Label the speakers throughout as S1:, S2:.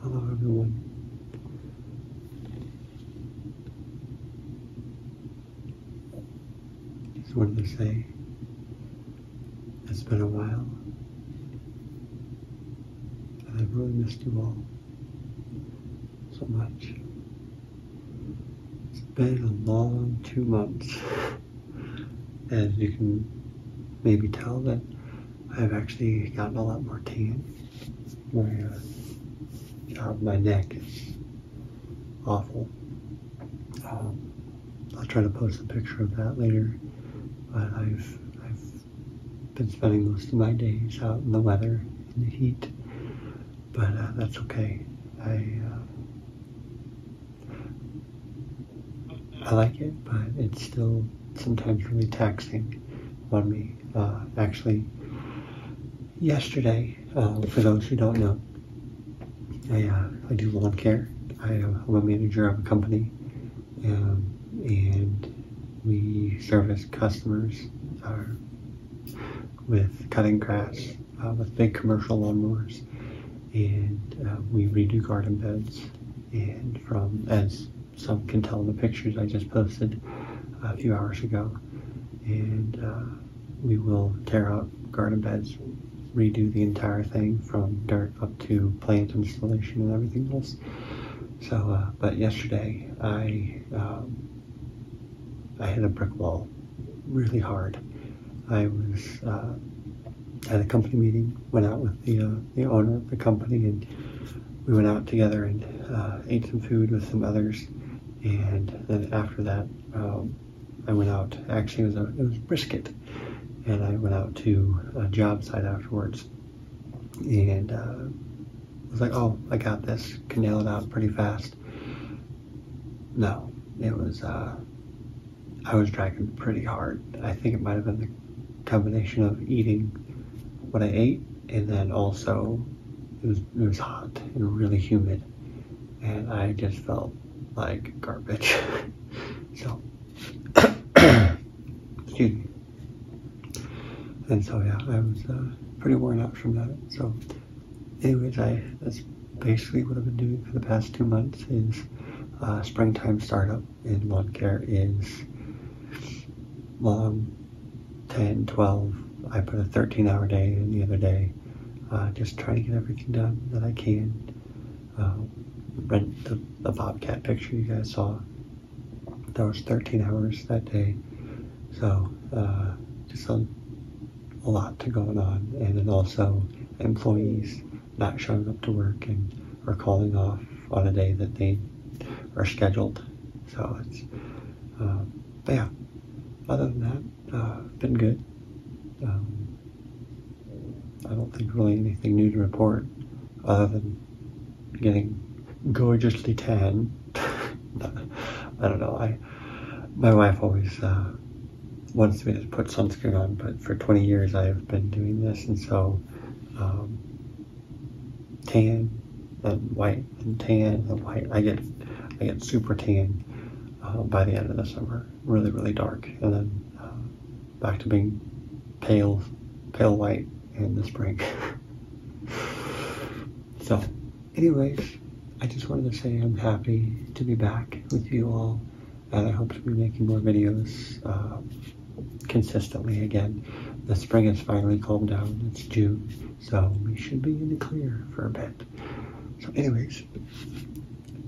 S1: Hello everyone. Just wanted to say it's been a while. And I've really missed you all so much. It's been a long two months. As you can maybe tell that I've actually gotten a lot more tan. My uh, my neck is awful. Um, I'll try to post a picture of that later, but I've I've been spending most of my days out in the weather, in the heat, but uh, that's okay. I uh, I like it, but it's still sometimes really taxing on me. Uh, actually, yesterday, uh, for those who don't know, uh, I, do lawn care. I am a manager of a company, um, and we service customers with cutting grass with big commercial lawn mowers and uh, we redo garden beds. And from, as some can tell in the pictures I just posted a few hours ago, and uh, we will tear out garden beds, redo the entire thing from dirt up to plant installation and everything else. So, uh, but yesterday I um, I hit a brick wall really hard. I was had a company meeting, went out with the, uh, the owner of the company, and we went out together and uh, ate some food with some others. And then after that, um, I went out. Actually, it was, a, it was brisket, and I went out to a job site afterwards, and uh, was like, "Oh, I got this. Can nail it out pretty fast." No, it was uh, I was dragging pretty hard. I think it might have been the combination of eating what I ate and then also it was, it was hot and really humid and I just felt like garbage. so, excuse me. And so yeah, I was uh, pretty worn out from that. So anyways, I that's basically what I've been doing for the past two months is uh, springtime startup in lawn is long um, 10, 12. I put a 13 hour day in the other day, uh, just trying to get everything done that I can. Uh, rent the, bobcat picture you guys saw. That was 13 hours that day. So just a, a lot to going on. And then also employees not showing up to work and or calling off on a day that they are scheduled. So it's, uh, but yeah, other than that, uh, been good. Um, I don't think really anything new to report other than getting gorgeously tan. I don't know. I my wife always uh, wants me to put sunscreen on, but for 20 years I've been doing this, and so um, tan and white and tan and white. I get I get super tan uh, by the end of the summer, really really dark, and then uh, back to being pale, pale white in the spring. so, anyways, I just wanted to say I'm happy to be back with you all. And I hope to be making more videos uh, consistently again. The spring has finally calmed down. It's June, so we should be in the clear for a bit. So anyways,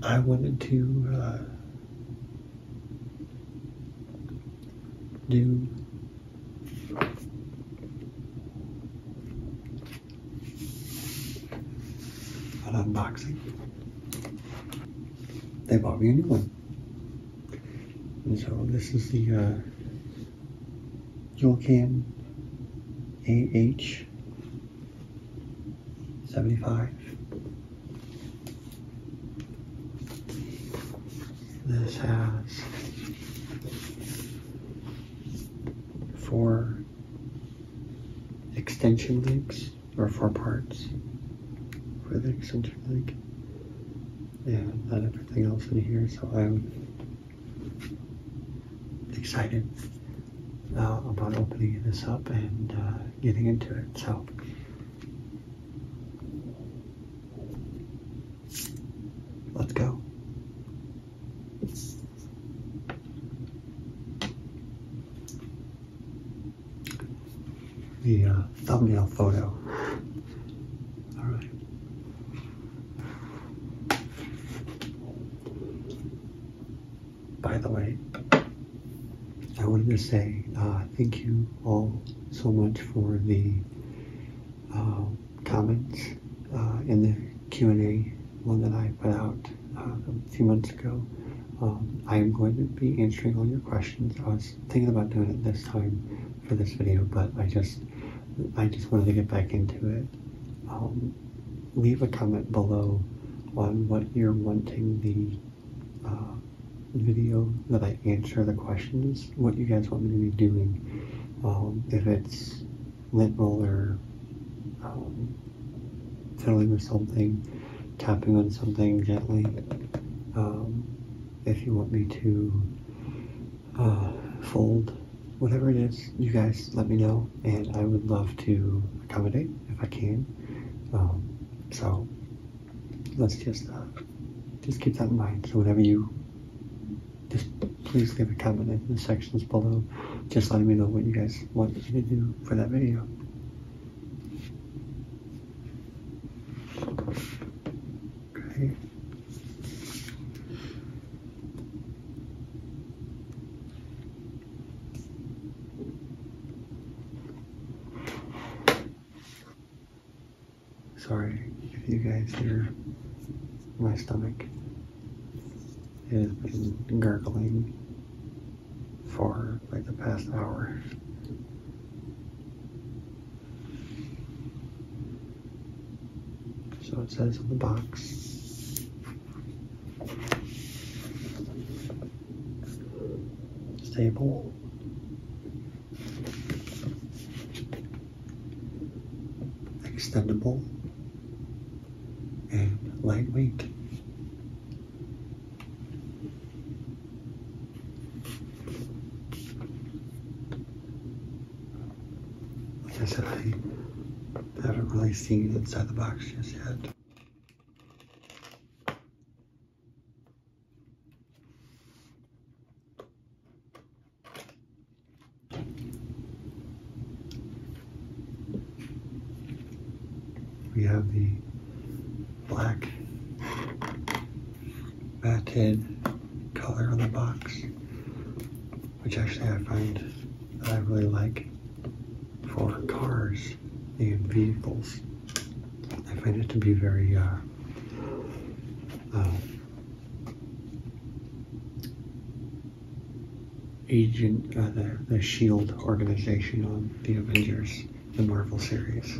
S1: I wanted to uh, do an unboxing they bought me a new one. And so this is the uh, AH75. This has four extension leads or four parts for the extension link and not everything else in here so I'm excited uh, about opening this up and uh, getting into it so let's go the uh, thumbnail photo. All right. By the way, I wanted to say uh, thank you all so much for the um, comments uh, in the Q&A one that I put out a few months ago. Um, I am going to be answering all your questions. I was thinking about doing it this time for this video, but I just I just wanted to get back into it. Um, leave a comment below on what you're wanting the uh, video that I answer the questions, what you guys want me to be doing. Um, if it's lint roller, um, fiddling with something, tapping on something gently. Um, if you want me to uh, fold whatever it is, you guys let me know, and I would love to accommodate if I can. Um, so let's just uh, just keep that in mind. So whenever you just please leave a comment in the sections below, just letting me know what you guys want me to do for that video. Sorry if you guys hear my stomach has been gurgling for like the past hour. So it says on the box. Stable. Extendable and lightweight. Like I haven't really seen inside the box just yet we have the black matted color on the box, which actually I find that I really like for cars and vehicles. I find it to be very uh, uh, agent uh, the, the shield organization of the avengers the Marvel series.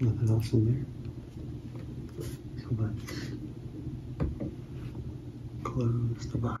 S1: Nothing else in there. So let close the box.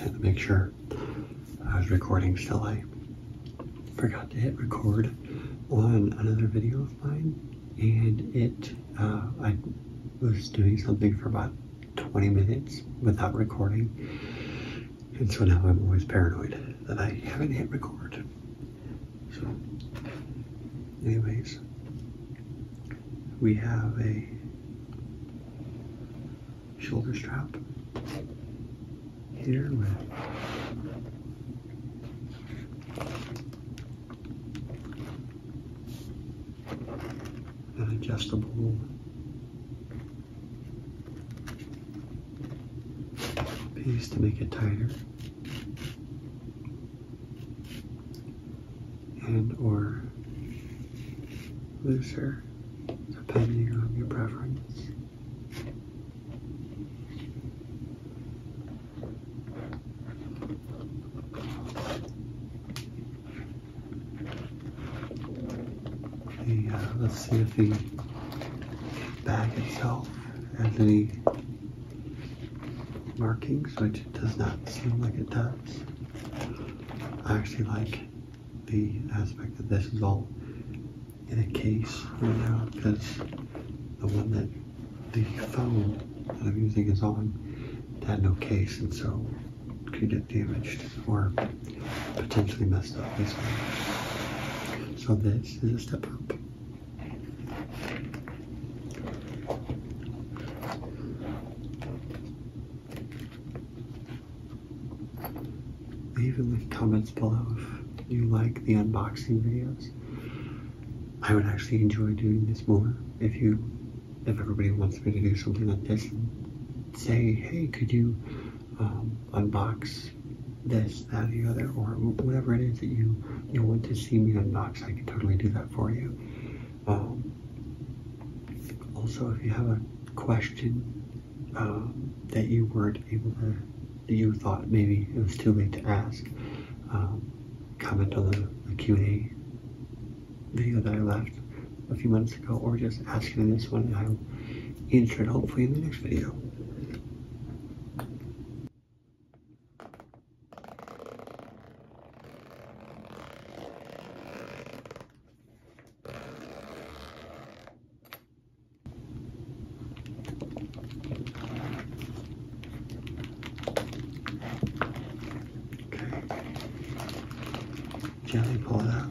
S1: Had to make sure I was recording still. I forgot to hit record on another video of mine and it, uh, I was doing something for about 20 minutes without recording and so now I'm always paranoid that I haven't hit record. So, anyways, we have a shoulder strap here with an adjustable piece to make it tighter and or looser depending on your preference. Uh, let's see if the bag itself has any markings, which does not seem like it does. I actually like the aspect that this is all in a case right now because the one that the phone that I'm using is on it had no case and so could get damaged or potentially messed up this one. So this is a step up. Leave in the comments below if you like the unboxing videos. I would actually enjoy doing this more if you if everybody wants me to do something like this and say, hey, could you um, unbox this, that, the other, or whatever it is that you you want to see me unbox, I can totally do that for you. Um, also, if you have a question um, that you weren't able to, that you thought maybe it was too late to ask, comment on the, the Q&A video that I left a few months months ago or just asking this one. I'll answer it hopefully in the next video. Jelly pull it out.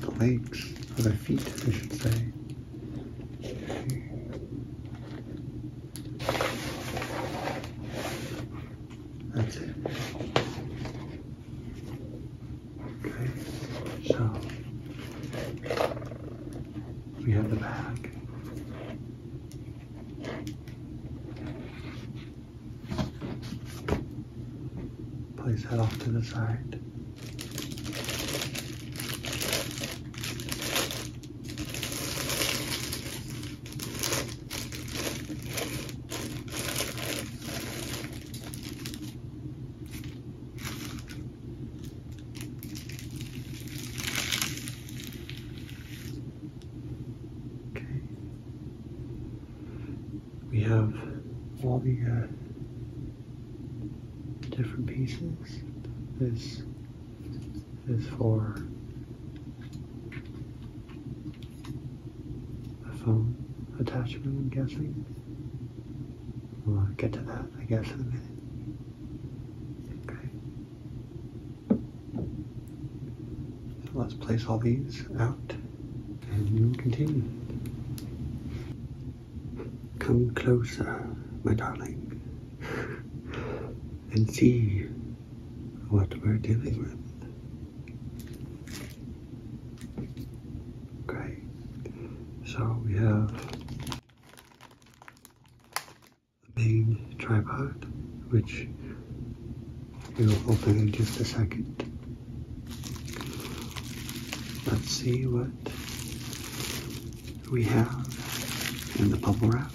S1: the legs or the feet, I should say. That's it. Okay, so we have the bag. Place that off to the side. Okay we have all the uh, different pieces. This is for a phone attachment, I'm guessing. We'll uh, get to that, I guess, in a minute. let's place all these out and you continue. Come closer, my darling, and see what we're dealing with. Okay, so we have the main tripod, which we will open in just a second. Let's see what we have in the bubble wrap.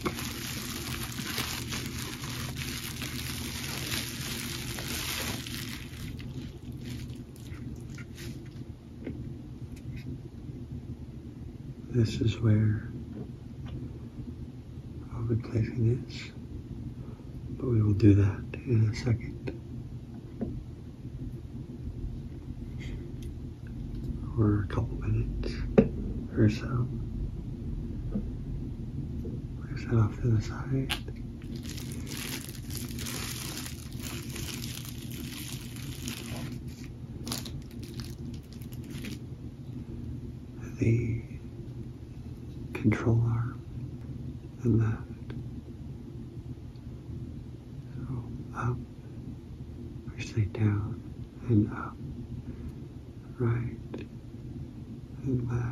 S1: This is where I'll be placing this but we will do that in a second. Or a couple minutes or so. Place that off to the side. The control arm and left. So up, firstly down and up, right and left.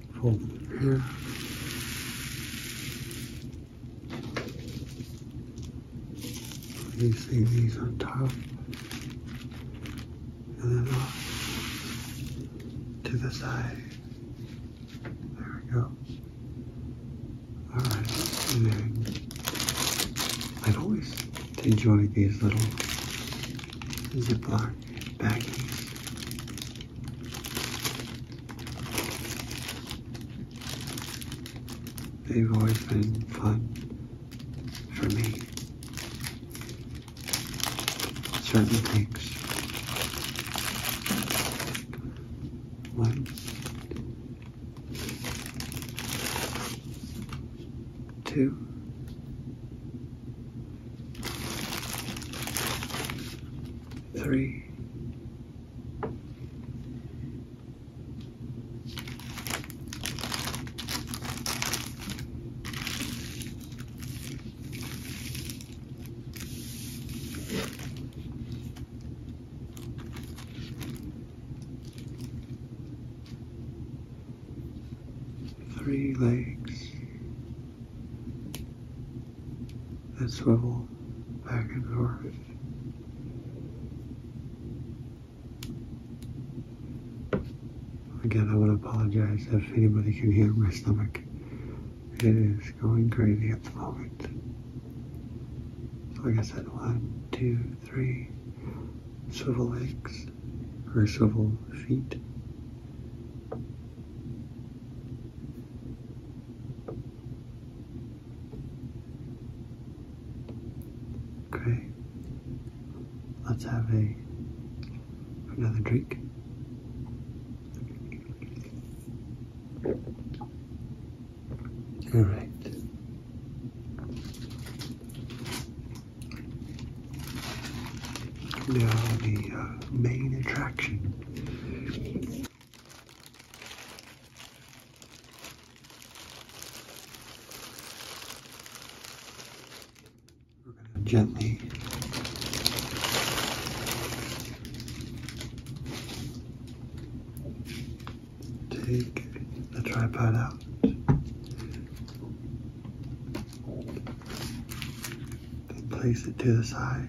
S1: from here. you see these on top and then off to the side. There we go. Alright, i I've always enjoyed these little Ziploc baggies. They've always been fun for me. Certain things. One, two, three, three legs and swivel back and forth. Again, I would apologize if anybody can hear my stomach. It is going crazy at the moment. So like I said, one, two, three, swivel legs, or swivel feet. Okay, let's have a another drink. All right. Now the uh, main attraction we're going to gently take the tripod out. Then place it to the side.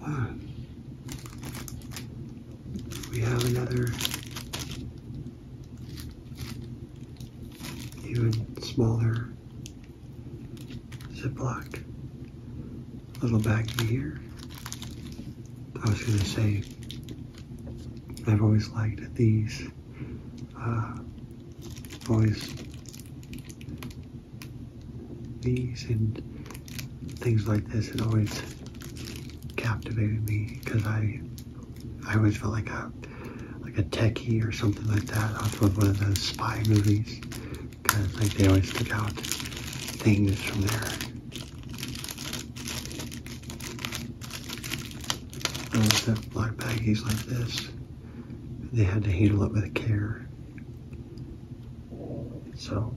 S1: Wow. We have another even smaller Ziploc little baggie here. I was going to say I've always liked these. Uh, always these and things like this had always captivated me because I I always felt like a like a techie or something like that off of one of those spy movies because like they always took out things from there. Those always black baggies like this. They had to handle it with care. So,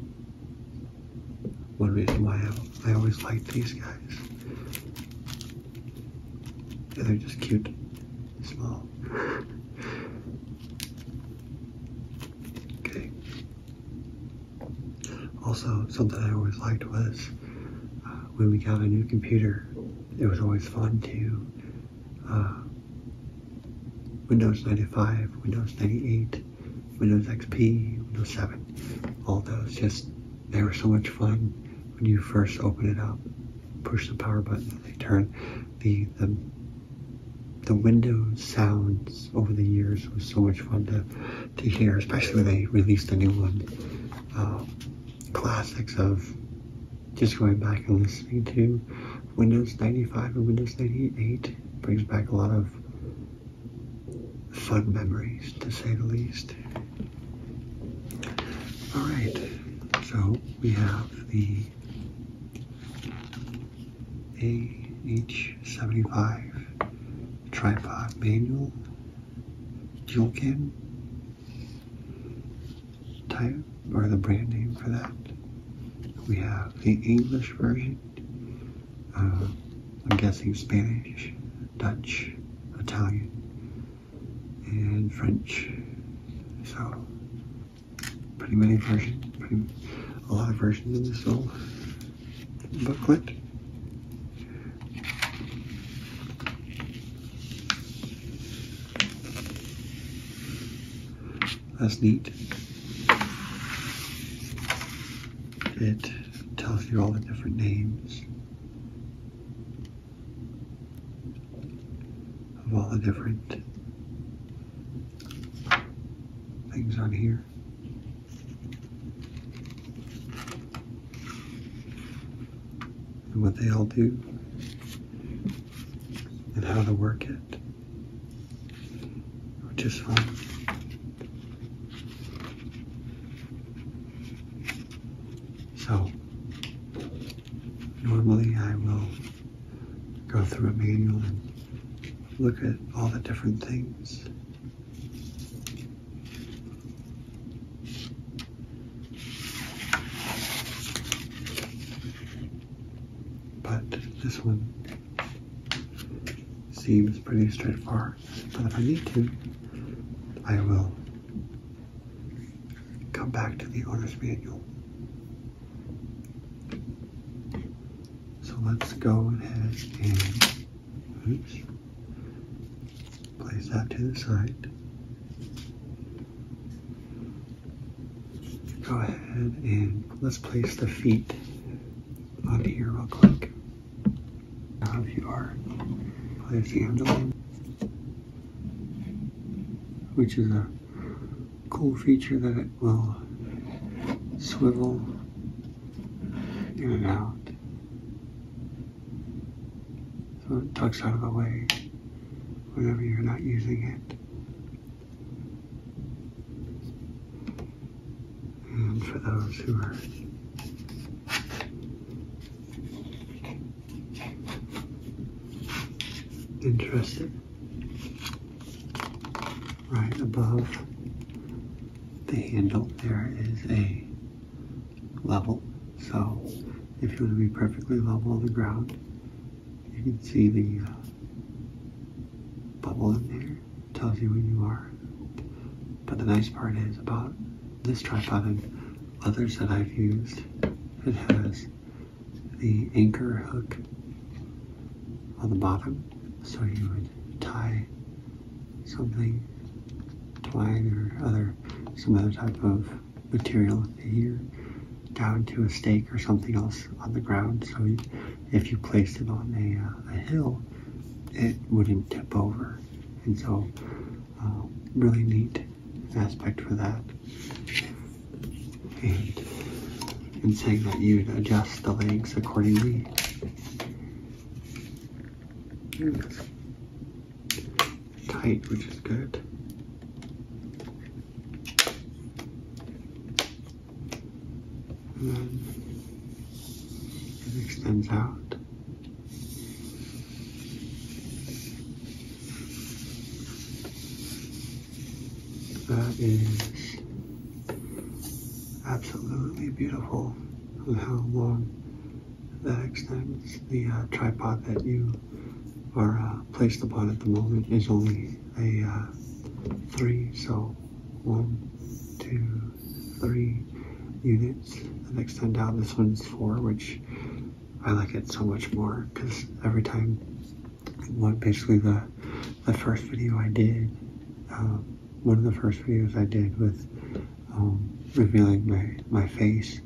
S1: one reason why I, I always like these guys. They're just cute, small. okay. Also, something I always liked was uh, when we got a new computer, it was always fun to uh, Windows 95, Windows 98, Windows XP, Windows 7, all those just, they were so much fun when you first open it up, push the power button, they turn the, the, the window sounds over the years was so much fun to to hear, especially when they released the new one, uh, classics of just going back and listening to Windows 95 and Windows 98 brings back a lot of fun memories, to say the least. Alright, so we have the AH seventy five tripod manual dual cam type or the brand name for that. We have the English version. Uh, I'm guessing Spanish, Dutch, Italian, and French. So pretty many versions, pretty a lot of versions in this. So booklet. That's neat. It tells you all the different names of all the different things on here and what they all do and how to work it, which is fun. So, normally I will go through a manual and look at all the different things but this one seems pretty straightforward. But if I need to, I will come back to the owner's manual. So let's go ahead and Place that to the side. Go ahead and let's place the feet on here real quick. Now if you are, place the underline, which is a cool feature that it will swivel in and out. So it tucks out of the way whenever you're not using it. And for those who are interested, right above the handle there is a level. So if you want to be perfectly level on the ground, you can see the uh, bubble in there. tells you when you are. But the nice part is about this tripod and others that I've used, it has the anchor hook on the bottom. So you would tie something, twine or other, some other type of material here down to a stake or something else on the ground. So if you placed it on uh, a, hill, it wouldn't tip over. And so uh, really neat aspect for that. And, and saying that you'd adjust the legs accordingly tight, which is good. And then extends out. That is absolutely beautiful how long the x uh, the tripod that you are uh, placed upon at the moment is only a uh, three, so one, two, three units. The next time down, this one's four, which I like it so much more because every time, basically the the first video I did. Um, one of the first videos I did with um, revealing my, my face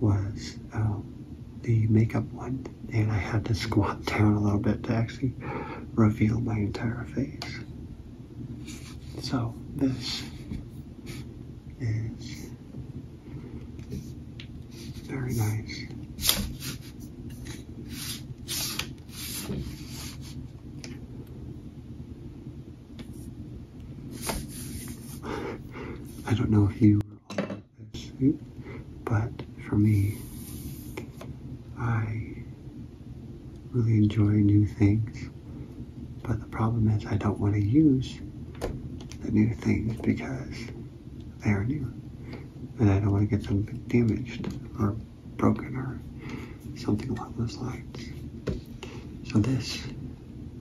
S1: was um, the makeup one, and I had to squat down a little bit to actually reveal my entire face. So this is very nice. I don't know if you were on this, but for me, I really enjoy new things. But the problem is, I don't want to use the new things because they are new, and I don't want to get them damaged or broken or something along those lines. So this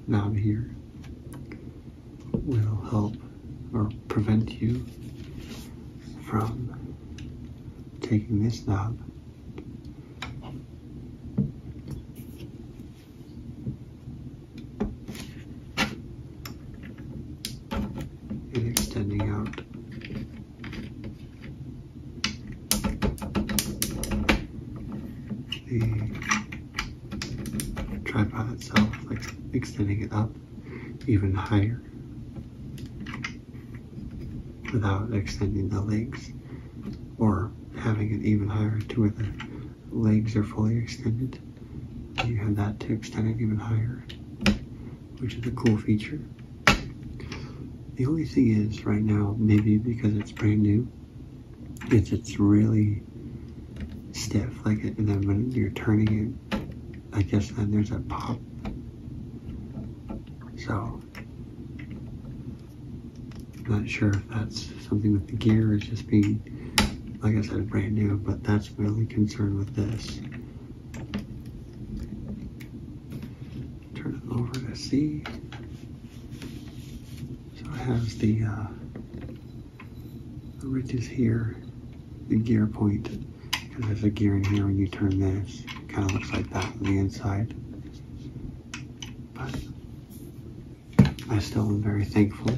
S1: knob here will help or prevent you from taking this knob and extending out the tripod itself, like extending it up even higher without extending the legs or having it even higher to where the legs are fully extended. You have that to extend it even higher, which is a cool feature. The only thing is, right now, maybe because it's brand new, is it's really stiff. Like, and then when you're turning it, I guess then there's a pop. So, I'm not sure if that's something with the gear is just being, like I said, brand new, but that's my only concern with this turn it over to see. So it has the, uh, the ridges here, the gear point, because there's a gear in here when you turn this. Kind of looks like that on the inside. But I still am very thankful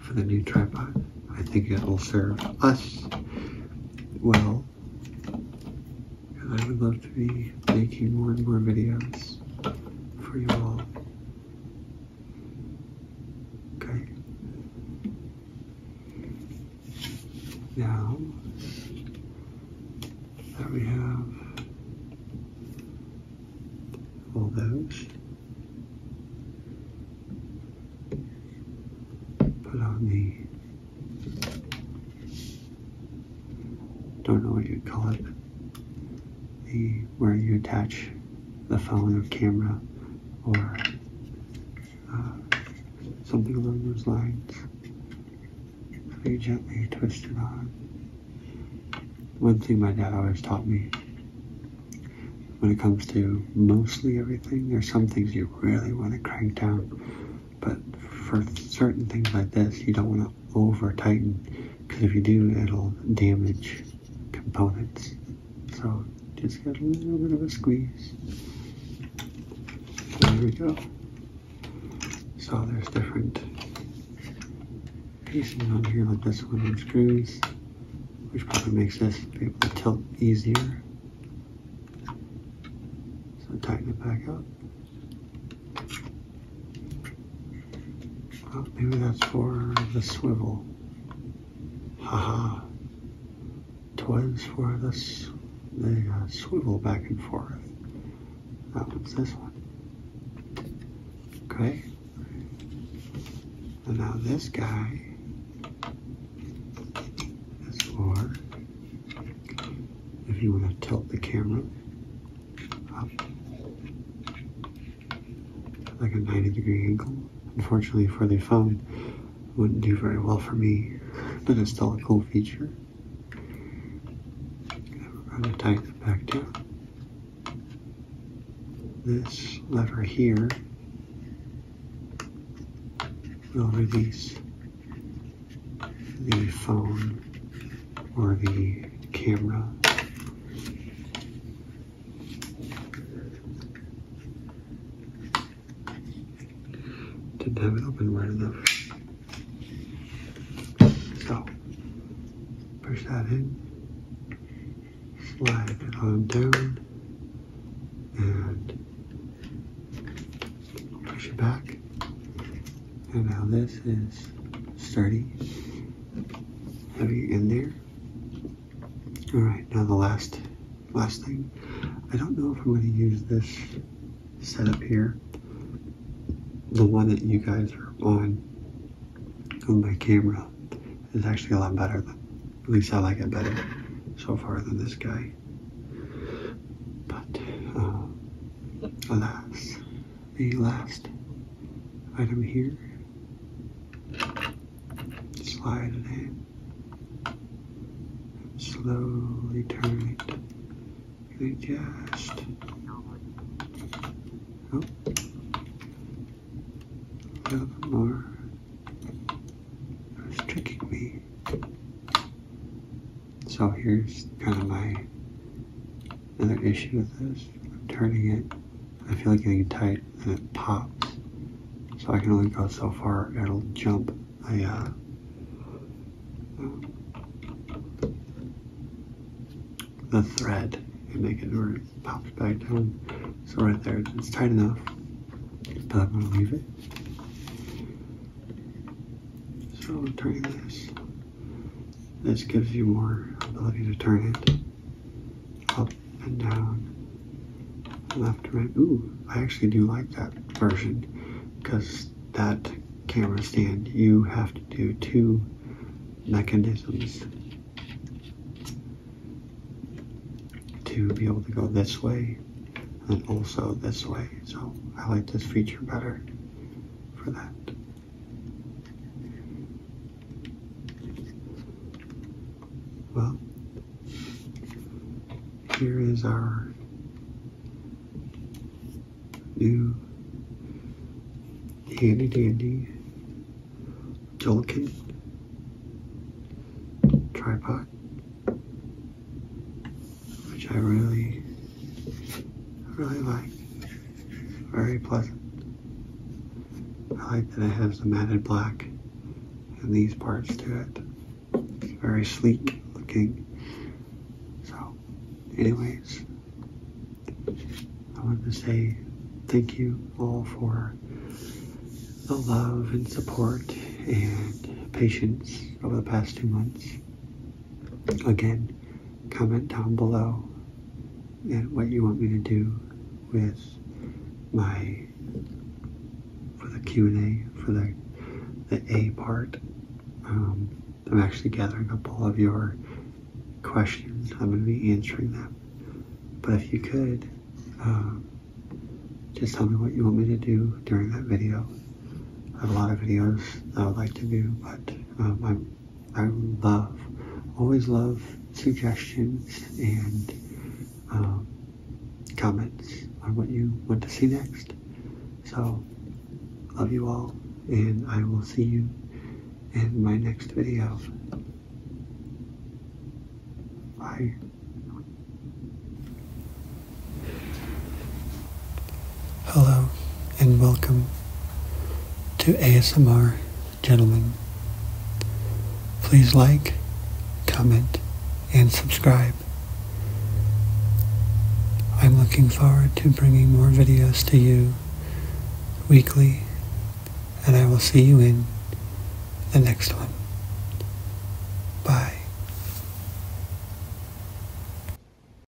S1: for the new tripod. I think it will serve us well and I would love to be making more and more videos for you all. Okay. Now that we have all those, put on the don't know what you would call it, the where you attach the phone or camera or uh, something along those lines. Very gently twist it on. One thing my dad always taught me when it comes to mostly everything, there's some things you really want to crank down but for certain things like this, you don't want to over tighten because if you do, it'll damage components. So just get a little bit of a squeeze. There we go. So there's different pieces on here like this one and screws, which probably makes this be able to tilt easier. So tighten it back up. Oh, maybe that's for the swivel. Haha. Twas for this, the uh, swivel back and forth. That one's this one. Okay. And now this guy is for if you want to tilt the camera up like a 90 degree angle. Unfortunately for the phone, wouldn't do very well for me, but it's still a cool feature. i it back down. This lever here will release the phone or the camera. Didn't have it open wide enough. So, push that in, slide it on down, and push it back. And now this is sturdy, heavy in there. All right, now the last, last thing. I don't know if I'm gonna use this setup here, the one that you guys are on, on my camera is actually a lot better. at least I like it better so far than this guy. But uh, Alas, the last item here. Slide it in. And slowly turn it. Really just. Oh. A little more. It tricking me. So here's kind of my other issue with this. I'm turning it, I feel like getting tight and it pops. So I can only go so far, it'll jump a, uh, the thread and make it where pops back down. So right there, it's tight enough, but I'm gonna leave it. So I'm turning this. This gives you more ability to turn it up and down, left, right. Ooh, I actually do like that version because that camera stand, you have to do two mechanisms to be able to go this way and also this way. So I like this feature better for that. Well, here is our new handy dandy Jolkin tripod which I really, really like. Very pleasant. I like that it has the matted black and these parts to it. It's very sleek looking. So, anyways, I want to say thank you all for the love and support and patience over the past two months. Again, comment down below and what you want me to do with my for the Q and A for the the A part. Um, I'm actually gathering up all of your questions. I'm going to be answering them. But if you could, uh, just tell me what you want me to do during that video. I have a lot of videos that I would like to do, but um, I, I love, always love suggestions and um, comments on what you want to see next. So, love you all, and I will see you in my next video. Bye. Hello and welcome to ASMR Gentlemen. Please like, comment, and subscribe. I'm looking forward to bringing more videos to you weekly, and I will see you in the next one. Bye.